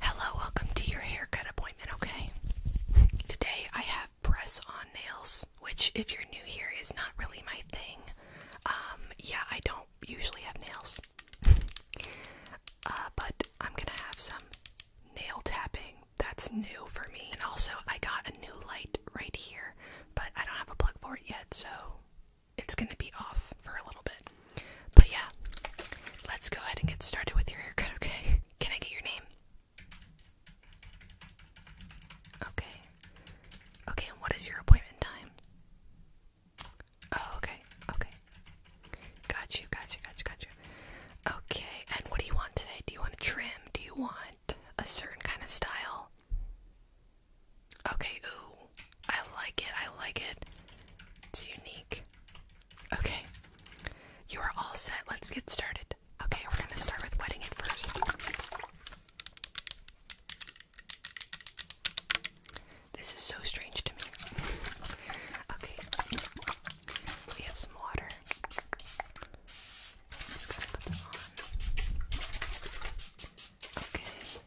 Hello, welcome to your haircut appointment, okay? Today I have press on nails, which, if you're new here, is not really my thing. Um, yeah, I don't usually have nails. uh, but I'm gonna have some nail tapping. That's new for me. And also, I got a new light right here, but I don't have a plug for it yet, so it's gonna be off for a little bit. But yeah, let's go ahead and get started with your haircut, okay? Can I get your name? Okay. Okay, and what is your appointment time? Oh, okay, okay. Got you, got you, got you, got you. Okay, and what do you want today? Do you want a trim? Do you want a certain kind of style? Okay, ooh. I like it, I like it. It's unique. Okay, you are all set. Let's get started. Okay, we're gonna start with wetting it first. This is so strange to me. okay, we have some water. just gonna put them on. Okay.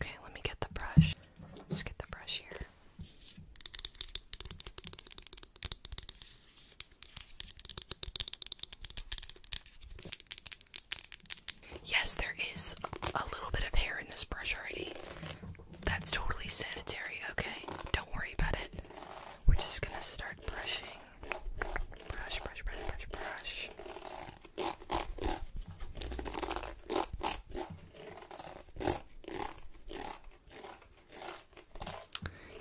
Okay. let me get the brush. Just get the brush here. Yes, there is a little bit of hair in this brush already. That's totally sanitary, okay? Don't worry about it. We're just gonna start brushing. Brush, brush, brush, brush, brush.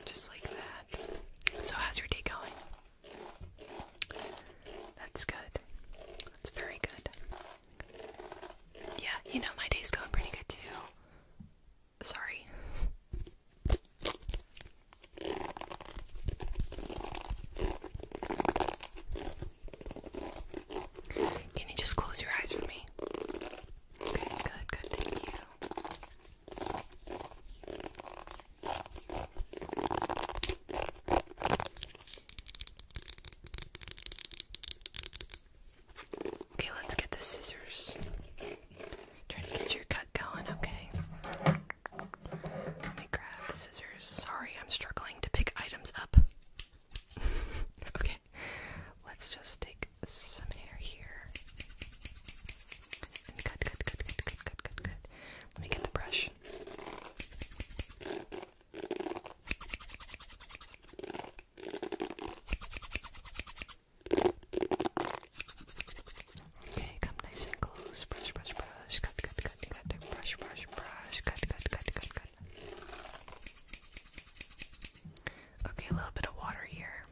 Just like that. So, how's your day going? That's good. That's very good. Yeah, you know, my day's going pretty good too. Sorry. Can you just close your eyes for me? Okay, good, good, thank you. Okay, let's get the scissors. Try to get your cut going, okay? Let me grab the scissors. Sorry, I'm struggling to pick items up. okay, let's just take some hair here. And cut, cut, cut, cut, cut, cut, Let me get the brush. Okay, come nice and close. Brush, brush, brush. Cut, cut, cut, cut. Brush, brush, brush. Cut, cut, cut, cut, cut. Okay, a little bit of water here.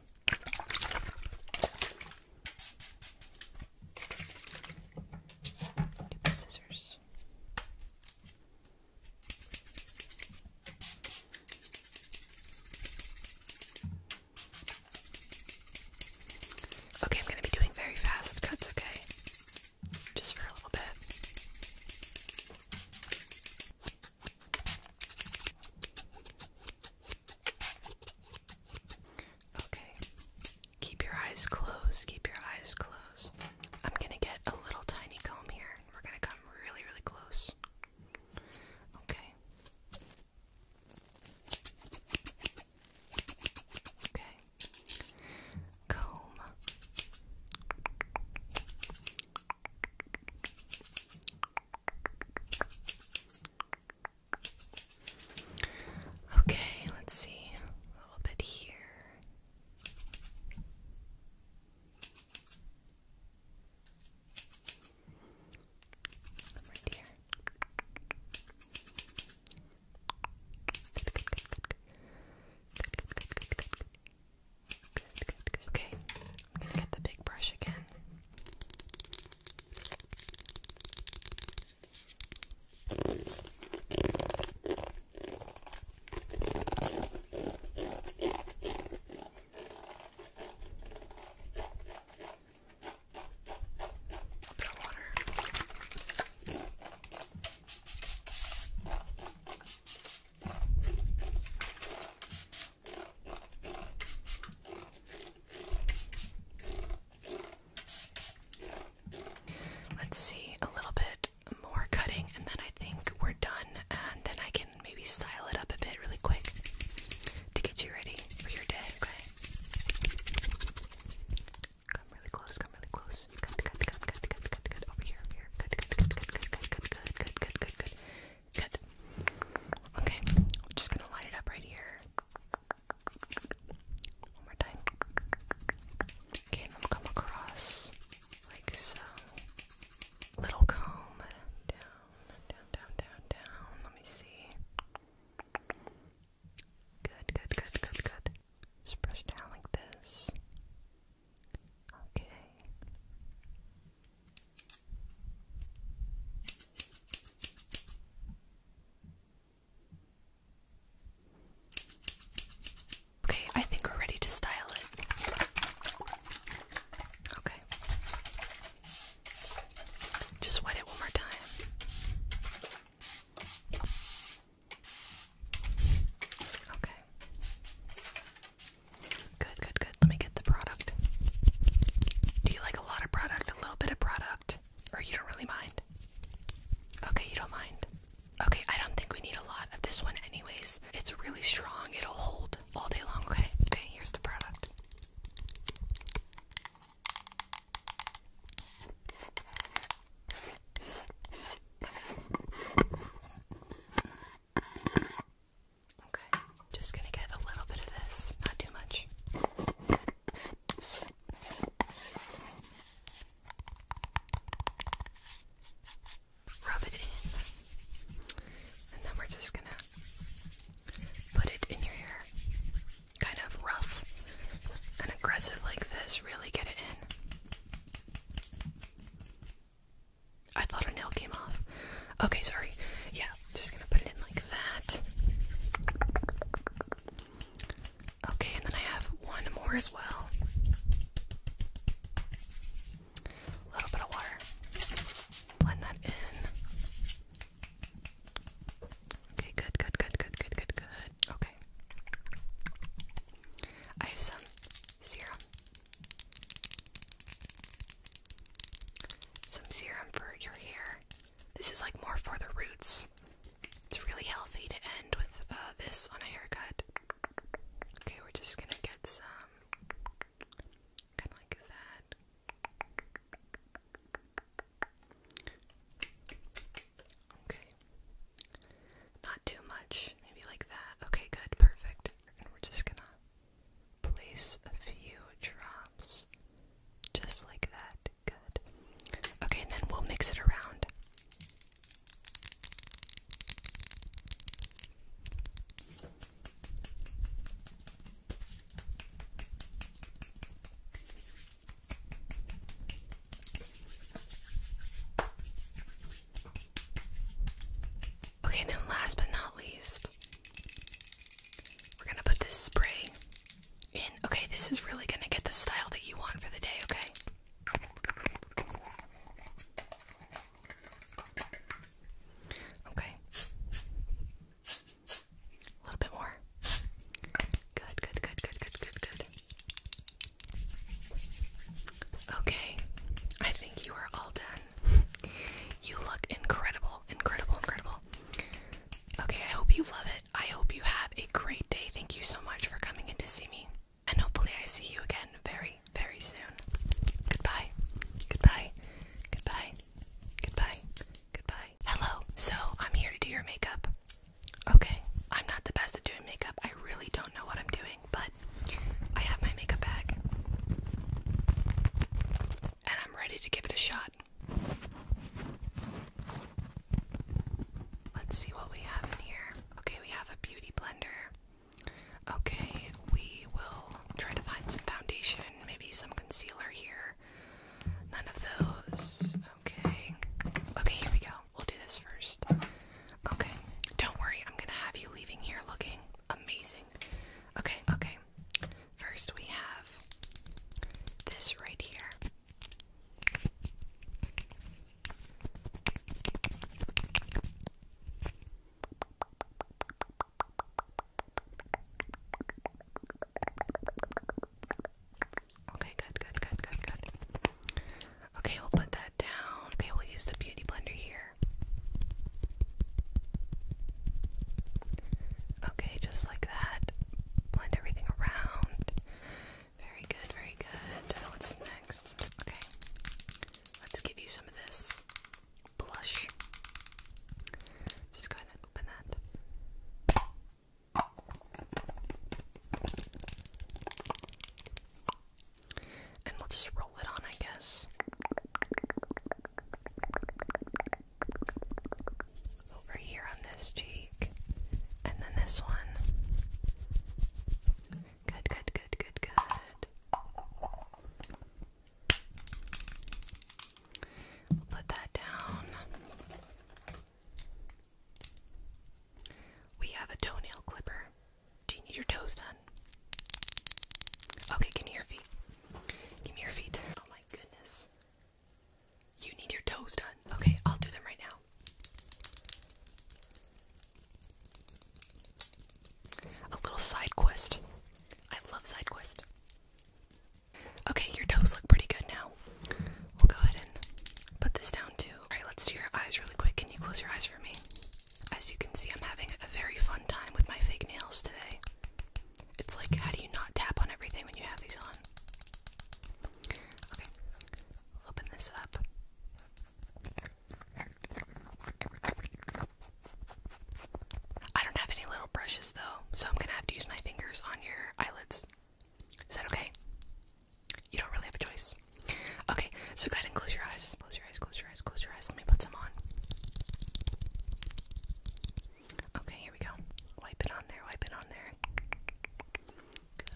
Get the scissors. Okay, I'm going to be doing very fast cuts, okay? Just for a little bit. Okay. Keep your eyes closed. Keep your eyes closed. I'm going to get a little tiny comb here. We're going to come really, really close. Okay. Okay. Comb. Okay, let's see a little bit here. I'm right here. Good, good, good, good, good. Good, good, good, good, good. Good, good, good. Okay, I'm gonna get the big brush again. Let's see a little bit more cutting, and then I think we're done, and then I can maybe style it up a bit really quick to get you ready for your day, Come really close, come really close. Good, good, good, good, good, good, good. Over here, over here. Good, good, good, good, good, good, good, good, good, good, good, good. Good. Okay, I'm just gonna line it up right here. One more time. Okay, and I'm gonna come across like so. Little comb down, down, down, down, down. Let me see. Good, good, good, good, good. Just brush down like this. Okay. Okay, I think we're ready to style it. Okay. Just wet it one more time. Okay. Good, good, good. Let me get the product. Do you like a lot of product, a little bit of product, or you don't really mind? Okay, you don't mind. Okay, I don't think we need a lot of this one, anyways. It's really strong, it'll hold all day long. Okay, okay, here's the product. Okay, just gonna get a little bit of this, not too much rub it in, and then we're just gonna put it in your hair kind of rough and aggressive like this, really get it in. I thought a nail came off. Okay, sorry. Yeah, just gonna put it in like that. Okay, and then I have one more as well. A little bit of water. Blend that in. Okay, good, good, good, good, good, good, good. Okay. I have some serum. Some serum for your hair. This is like more for the roots. It's really healthy to end with uh, this on a haircut. Okay, we're just gonna get some Kind of like that. Okay. Not too much. Maybe like that. Okay, good. Perfect. And we're just gonna place a few drops just like that. Good. Okay, then we'll mix it around. Okay, and then last but not least, we're gonna put this spray in. Okay, this is really gonna get the style that you want for the day, okay? Okay. A little bit more. Good, good, good, good, good, good, good. Okay. I think you are all done. You look incredible, incredible, incredible. Okay, I hope you love it. I hope you have a great day. Thank you so much for coming in to see me and hopefully I see you again very, very soon. Goodbye. Goodbye. Goodbye. Goodbye. Goodbye. Hello. So, I'm here to do your makeup. Okay. I'm not the best at doing makeup. I really don't know what I'm doing, but I have my makeup bag. And I'm ready to give it a shot. Let's see what we have in here. Okay, we have a beauty blender. Okay, we will try to find some foundation, maybe some concealer here. None of those. Okay. Okay, here we go. We'll do this first. Okay. Don't worry, I'm gonna have you leaving here looking amazing. Okay, okay. First, we have this right here. Okay, good, good, good, good, good. Okay, we'll put that down. Okay, we'll use the beauty blender here. Okay, just like that. Blend everything around. Very good, very good. Now oh, it's Okay. Let's give you some of this blush. Just go ahead and open that. And we'll just roll it on, I guess. Over here on this cheek, and then this one. Good, good, good, good, good. We'll put that down. We have a toenail clipper. Do you need your toes done? Okay, give me your feet. Give me your feet. Oh my goodness. You need your toes done. Okay, I'll do them right now. A little side quest. I love side quest. Okay, your toes look pretty good now. We'll go ahead and put this down too. Alright, let's do your eyes really quick. Can you close your eyes for me? As you can see, I'm having a very fun time with my fake nails today. It's like, how do you not tap on everything when you have these on? Okay, open this up. I don't have any little brushes though, so I'm gonna have to use my fingers on your eyelids. Is that okay? You don't really have a choice. Okay, so go ahead and close your eyes. Close your eyes, close your eyes, close your eyes. Let me put some on. Okay, here we go. Wipe it on there, wipe it on there. Good.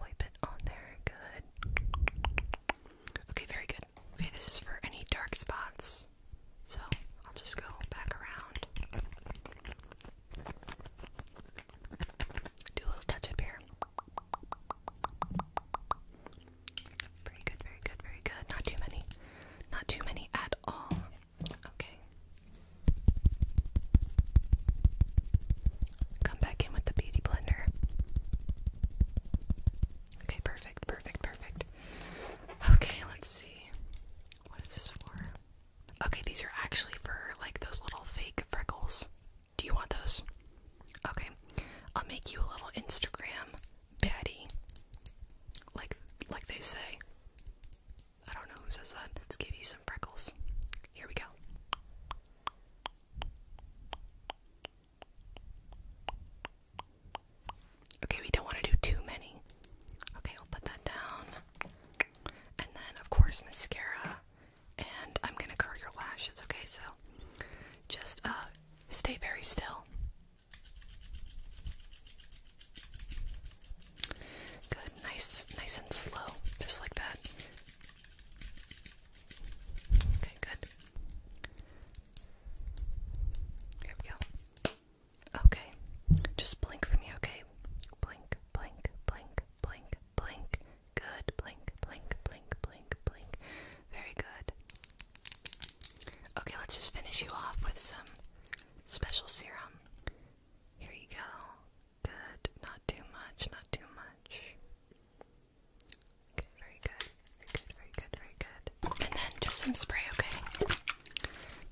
Wipe it on there. Good. Okay, very good. Okay, this is for any dark spots. So I'll just go back around. Do a little touch up here. Very good, very good, very good. Not too many. Not too many at all. Okay. Come back in with the beauty blender. Okay, perfect, perfect, perfect. Okay, let's see. What is this for? Okay, these are actually for like those little fake freckles. Do you want those? Okay, I'll make you a little Instagram baddie. Like, like they say. I don't know who says that. Let's give you some freckles. Here we go. Okay, we don't want to do too many. Okay, I'll put that down. And then, of course, mascara. And I'm going to curl your lashes, okay? So just uh, stay very still. Good, nice, nice and slow, just like that. Okay, good. Here we go. Okay, just blink for me, okay? Blink, blink, blink, blink, blink. Good, blink, blink, blink, blink, blink. Very good. Okay, let's just finish you off with some special serum. Here you go. Good. Not too much, not too much. very good. Very good, very good, very good. And then just some spray, okay?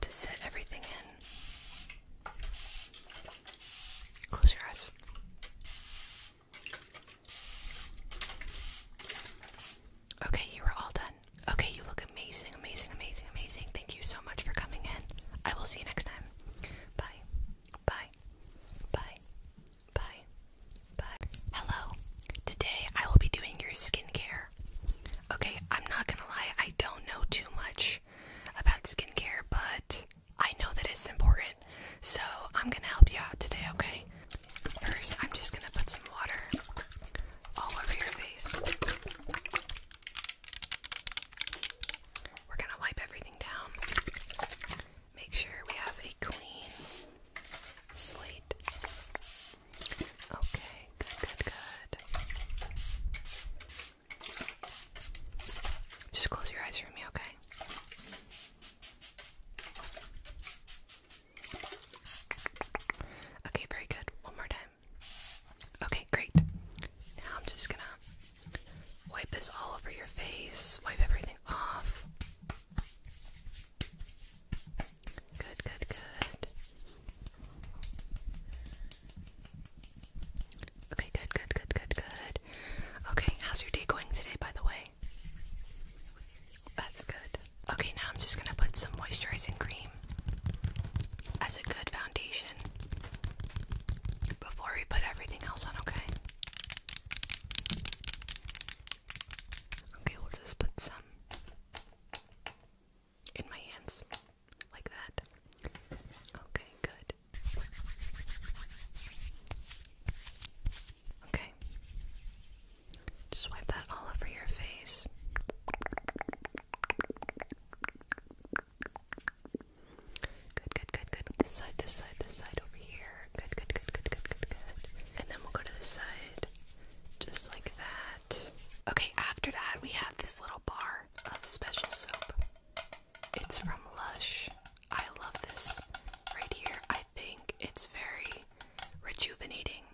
To set everything in. Close your eyes. Okay, you are all done. Okay, you look amazing, amazing, amazing, amazing. Thank you so much for coming in. I will see you next time. Bye. Bye bye, bye, bye, Hello. Today I will be doing your skincare. Okay, I'm not gonna lie, I don't know too much about skincare, but I know that it's important. So I'm gonna help you out today, okay? First, I'm just gonna put some water all over your face. We're gonna wipe everything down. Make sure we have a clean slate. Okay, good, good, good. Just close your eyes for me, okay? Okay, very good. One more time. Okay, great. Now I'm just gonna wipe this all over your face, wipe everything off. Good, good, good. Okay, good, good, good, good, good. Okay, how's your day going today, by the way? That's good. Okay, now I'm just gonna put some moisturizing cream as a good foundation before we put everything else on, okay? Okay, we'll just put some in my hands like that. Okay, good. Okay. Just that all over your face. Good, good, good, good. This side, this side, this side over here. Good, good, good, good, good, good, good. And then we'll go to this side. Just like that. Okay, after that, we have this little bar of special soap. It's from Lush. I love this right here. I think it's very rejuvenating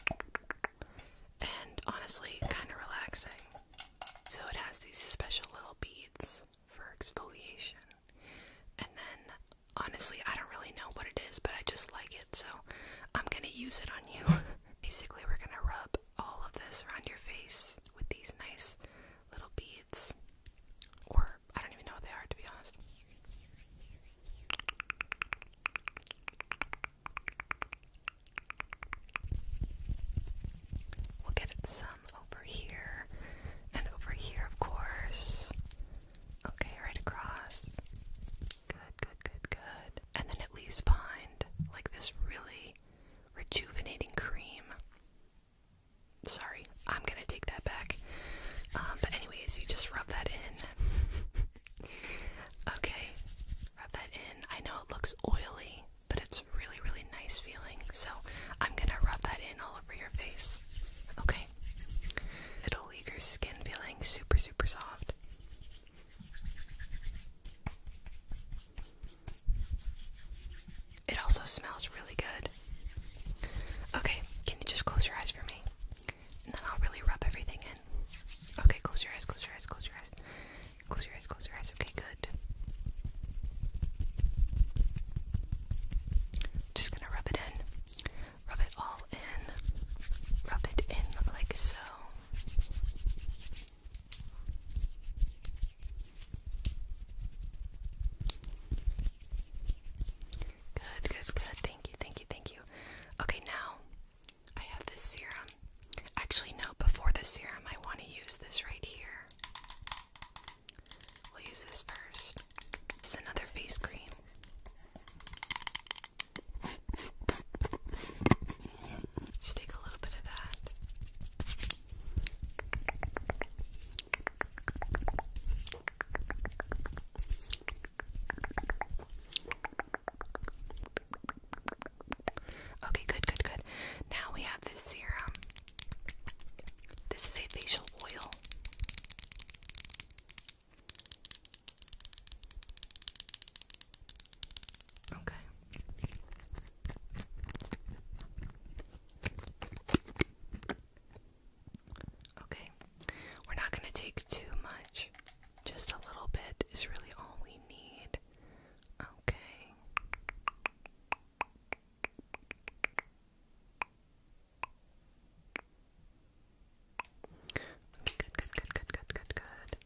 and honestly kind of relaxing. So it has these special little beads for exfoliation. And then, honestly, I don't really know what it is, but I just like it, so I'm gonna use it on you. Basically, we're gonna rub all of this around your face with these nice little beads. Or, I don't even know what they are, to be honest. We'll get it over here, and over here, of course. Okay, right across. Good, good, good, good. And then it leaves behind like this really rejuvenating cream. Sorry, I'm gonna take that back. Um, but, anyways, you just rub that in. okay, rub that in. I know it looks oily, but it's really, really nice feeling. So I'm gonna rub that in all over your face. Okay? It'll leave your skin feeling super, super soft. It also smells really good. Okay, can you just close your eyes for me? And then I'll really rub everything in. Okay, close your eyes, close your eyes, close your eyes. Close your eyes, close your eyes. Okay, good. Just gonna rub it in. Rub it all in. Rub it in like so. Good, good, good. Thank you, thank you, thank you. Okay, now I have this serum. Actually, no, before the serum, I want to use this right here. We'll use this first. This is another face cream. Just take a little bit of that. Okay, good, good, good. Now we have this serum. This is a facial oil. Okay. Okay. We're not going to take too much. Just a little bit is really all we need. Okay. Good, good, good, good, good, good, good.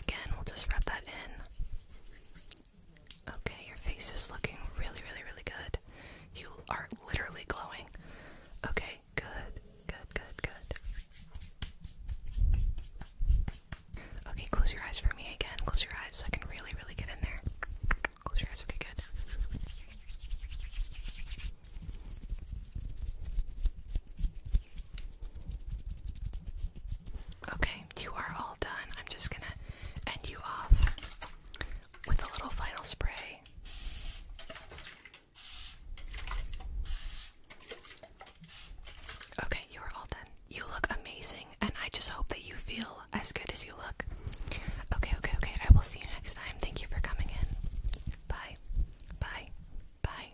Again, we'll just wrap that in. Okay, your face is looking really, really, really good. You are literally glowing. Okay, Okay, good, good, good, good. Okay, close your eyes for me again. Close your eyes so I can really, really get in there. Close your eyes, okay, good. Okay, you are all done. I'm just gonna end you off with a little final spray. Okay, you are all done. You look amazing, and I just hope that you feel as good as you look. Okay, okay, okay. I will see you next time. Thank you for coming in. Bye. Bye. Bye.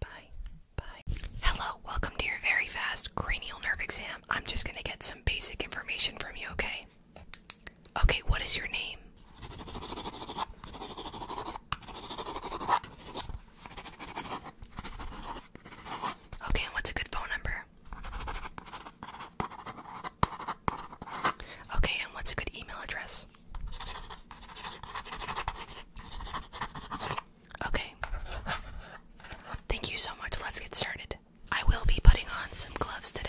Bye. Bye. Hello, welcome to your very fast cranial nerve exam. I'm just going to get some basic information from you, okay? Okay, what is your name? Okay, what's a good phone number? Okay, and what's a good email address? Okay. Thank you so much. Let's get started. I will be putting on some gloves today.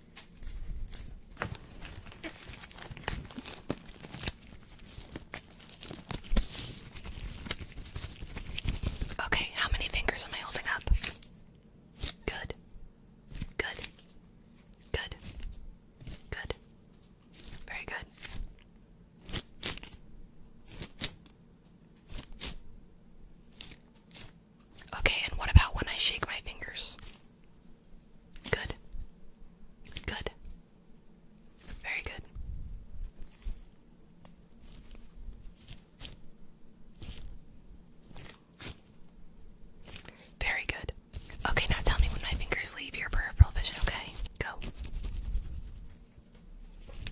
Okay, how many fingers am I holding up? Good. Good. Good. Good. Very good. Okay, and what about when I shake my fingers? Good. Good. Very good. Very good. Okay, now tell me when my fingers leave your peripheral vision, okay? Go.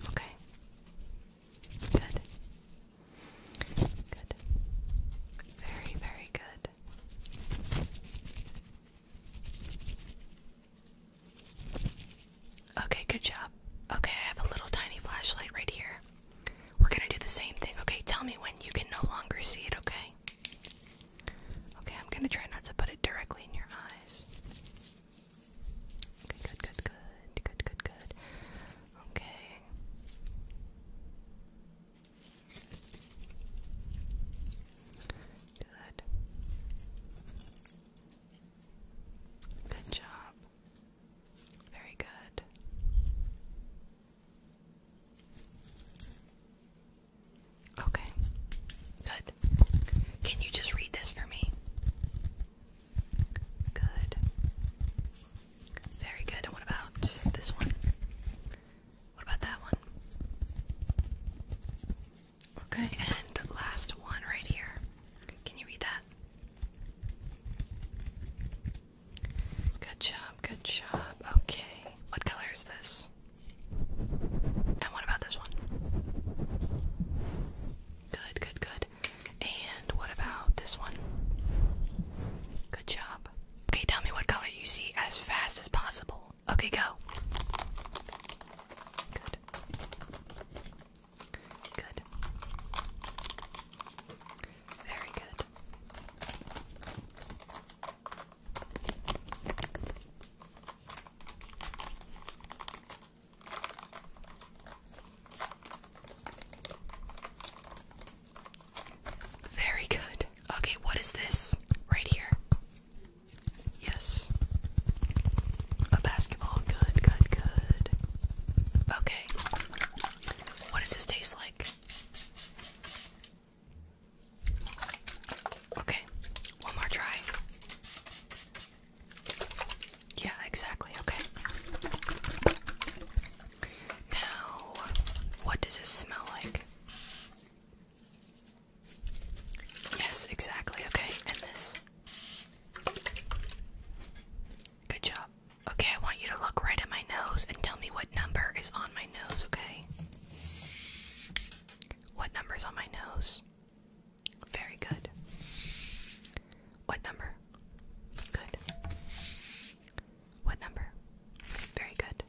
Okay. Good. Good. Very, very good. Okay, good job. Okay, I have a little tiny flashlight right here. We're gonna do the same thing. Okay, tell me when you can no longer see it, okay? Okay, I'm gonna try not to put it directly in your eyes. good, good, good, good, good, good. Okay. Good. Good job. Very good. Okay. Good. Can you just read this for me? Good. Very good. And what about this one? What about that one? Okay, and the last one right here. Can you read that? Good job, good job. Okay, what color is this? And what about this one? Good, good, good. And what about this one? Good job. Okay, tell me what color you see as fast as possible. Okay, go. Good. Good. Very good. Very good. Okay, what is this? Right here. Yes. A basketball. Good, good, good. Okay. What does this taste like? Okay, one more try. Yeah, exactly. Okay. Now, what does this smell like? Yes, exactly. Okay, and this. Good job. Okay, I want you to look right at my nose and tell me what number is on my nose, okay? What number is on my nose? Very good. What number? Good. What number? Very good.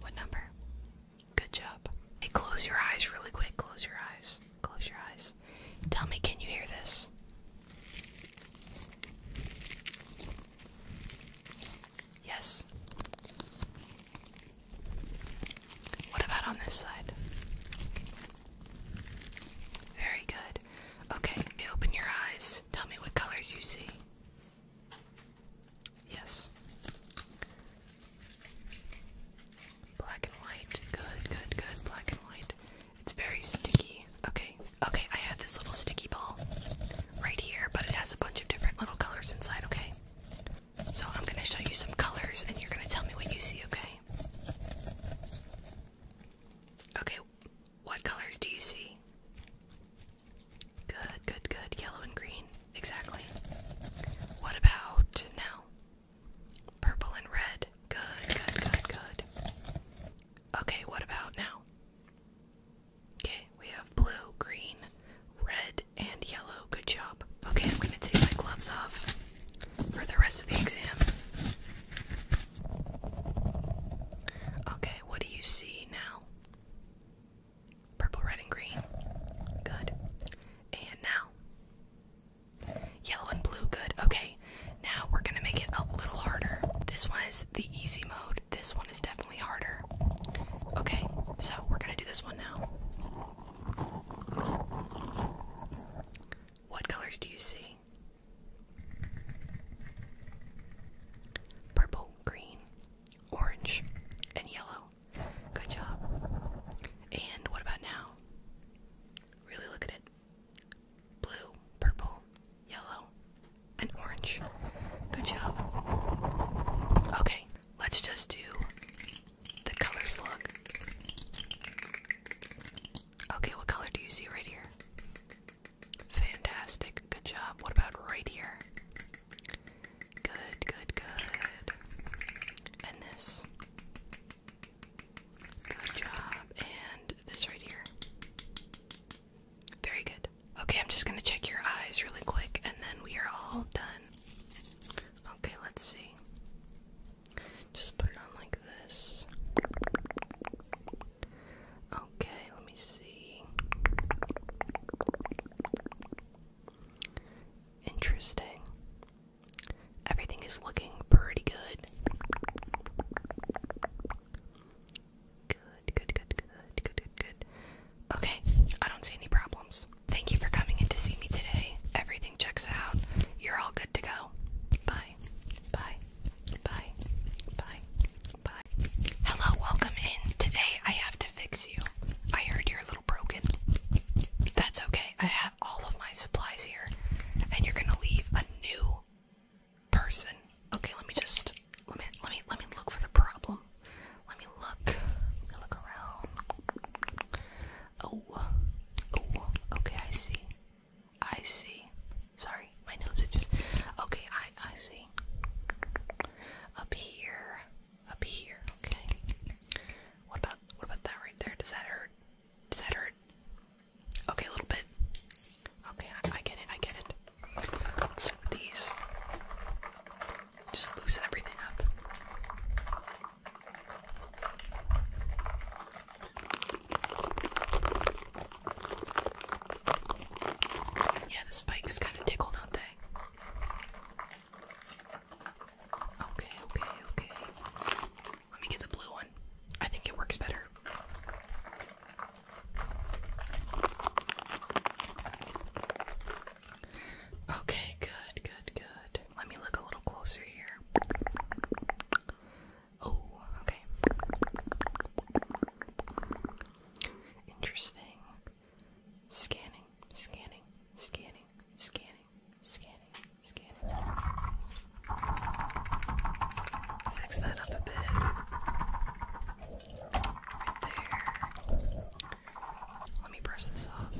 What number? Good job. Hey, close your eyes really quick. Close your eyes. Close your eyes. Tell me, can you hear this? Yes. What about on this side? Very good. Okay, open your eyes. Tell me what colors you see. Yes. Black and white. Good, good, good. Black and white. It's very sticky. Okay, okay, I have this little sticky ball right here, but it has a bunch of different little colors inside, okay? So I'm gonna show you some colors and you're gonna tell me what you see, okay? Okay, what colors do you see? Good, good, good. Yellow and green. Exactly. What about now? Purple and red. Good, good, good, good. Okay, what about now? Okay, we have blue, green, red, and yellow. Good job. Okay, I'm going to take my gloves off for the rest of the exam. Okay, what do you see now? Purple, red, and green. Good. And now? Yellow and blue. Good. Okay, now we're going to make it a little harder. This one is the easy mode, this one is definitely harder. Okay, so we're going to do this one now. What colors do you see? Purple, green, orange, and yellow. Good job. And what about now? Really look at it. Blue, purple, yellow, and orange. Good job. Okay, let's just do the color slug. Okay, what color do you see right here? Fantastic. Good job. What about right here? Good, good, good. And this. Good job. And this right here. Very good. Okay, I'm just going to check your eyes really quick and then we are all done. Okay, let's see. Just put it on like this. Okay, let me see. Interesting. Everything is looking pretty good. Good, good, good, good, good, good, Okay, I don't see any problems. Thank you for coming in to see me today. Everything checks out. You're all good to go. Bye bye, bye, bye, bye, Hello, welcome in. Today I have to fix you. I heard you're a little broken. That's okay. I have all of my supplies here, and you're gonna leave a new person. Okay, let me just let me let me let me look for the problem. Let me look. Let me look around. Oh, oh. Okay, I see. I see. Sorry, my nose is just okay. I I see. Up here, up here. Okay. What about what about that right there? Does that hurt? Does that hurt? Okay, a little bit. Okay, I, I get it. I get it. Let's start with these. Just loosen everything up. Yeah, the spikes kind of tickle, don't they? Okay, okay, okay. Let me get the blue one. I think it works better. Okay, good, good, good. Let me look a little closer here. Oh, okay. Interesting. Scanning, scanning, scanning, scanning, scanning, scanning. Fix that up a bit. Right there. Let me brush this off.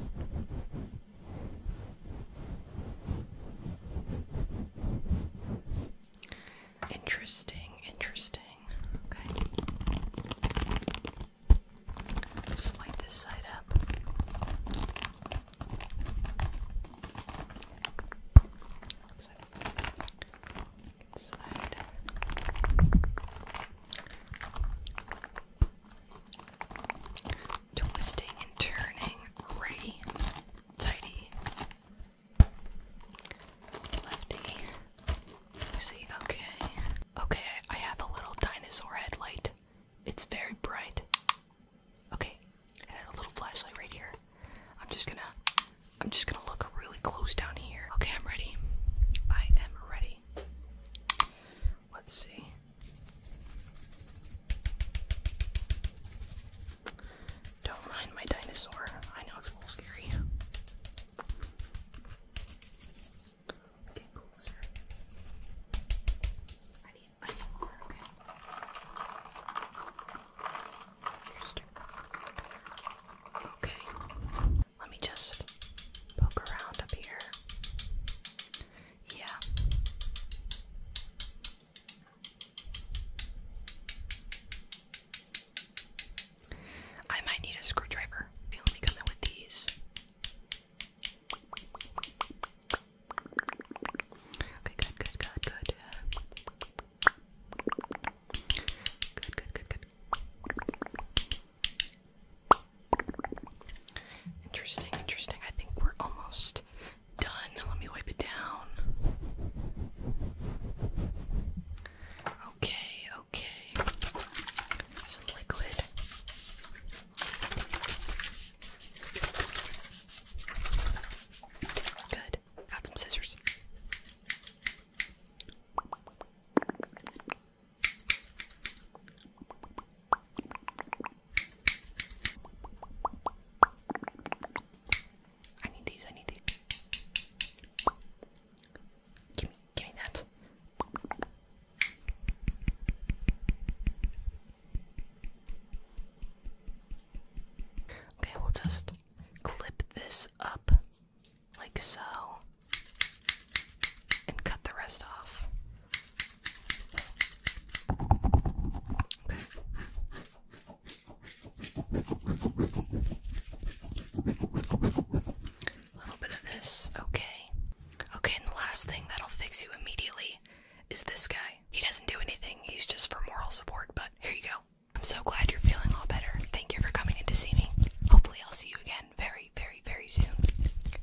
Interesting, interesting. Okay. Just this side up. So, inside. Twisting and turning, righty, tighty, Lefty. I see, okay. Okay, I have a little dinosaur headlight. It's very bright. Okay, and a little flashlight right here. I'm just gonna I'm just gonna look really close down here. Okay, I'm ready. I am ready. Let's see. Don't mind my dinosaur. I know it's a little scary. okay? Okay. Let me just poke around up here. Yeah. I might need a screwdriver. Okay, me come with these. Okay, good, good, good, good. Good, good, good, good. Interesting, interesting. I think we're almost done. Let me wipe it down. Okay, okay. Some liquid. Good. Got some scissors. I need these, I need these. Give me, give me that. Okay, we'll just clip this up like so and cut the rest off. A little bit of this, okay. Okay, and the last thing that'll fix you immediately is this guy. He doesn't do anything, he's just for moral support, but here you go. I'm so glad you're feeling all better. Thank you for coming in to see me. Hopefully, I'll see you again very, very, very soon.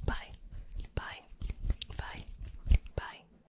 Bye. Bye. Bye. Bye.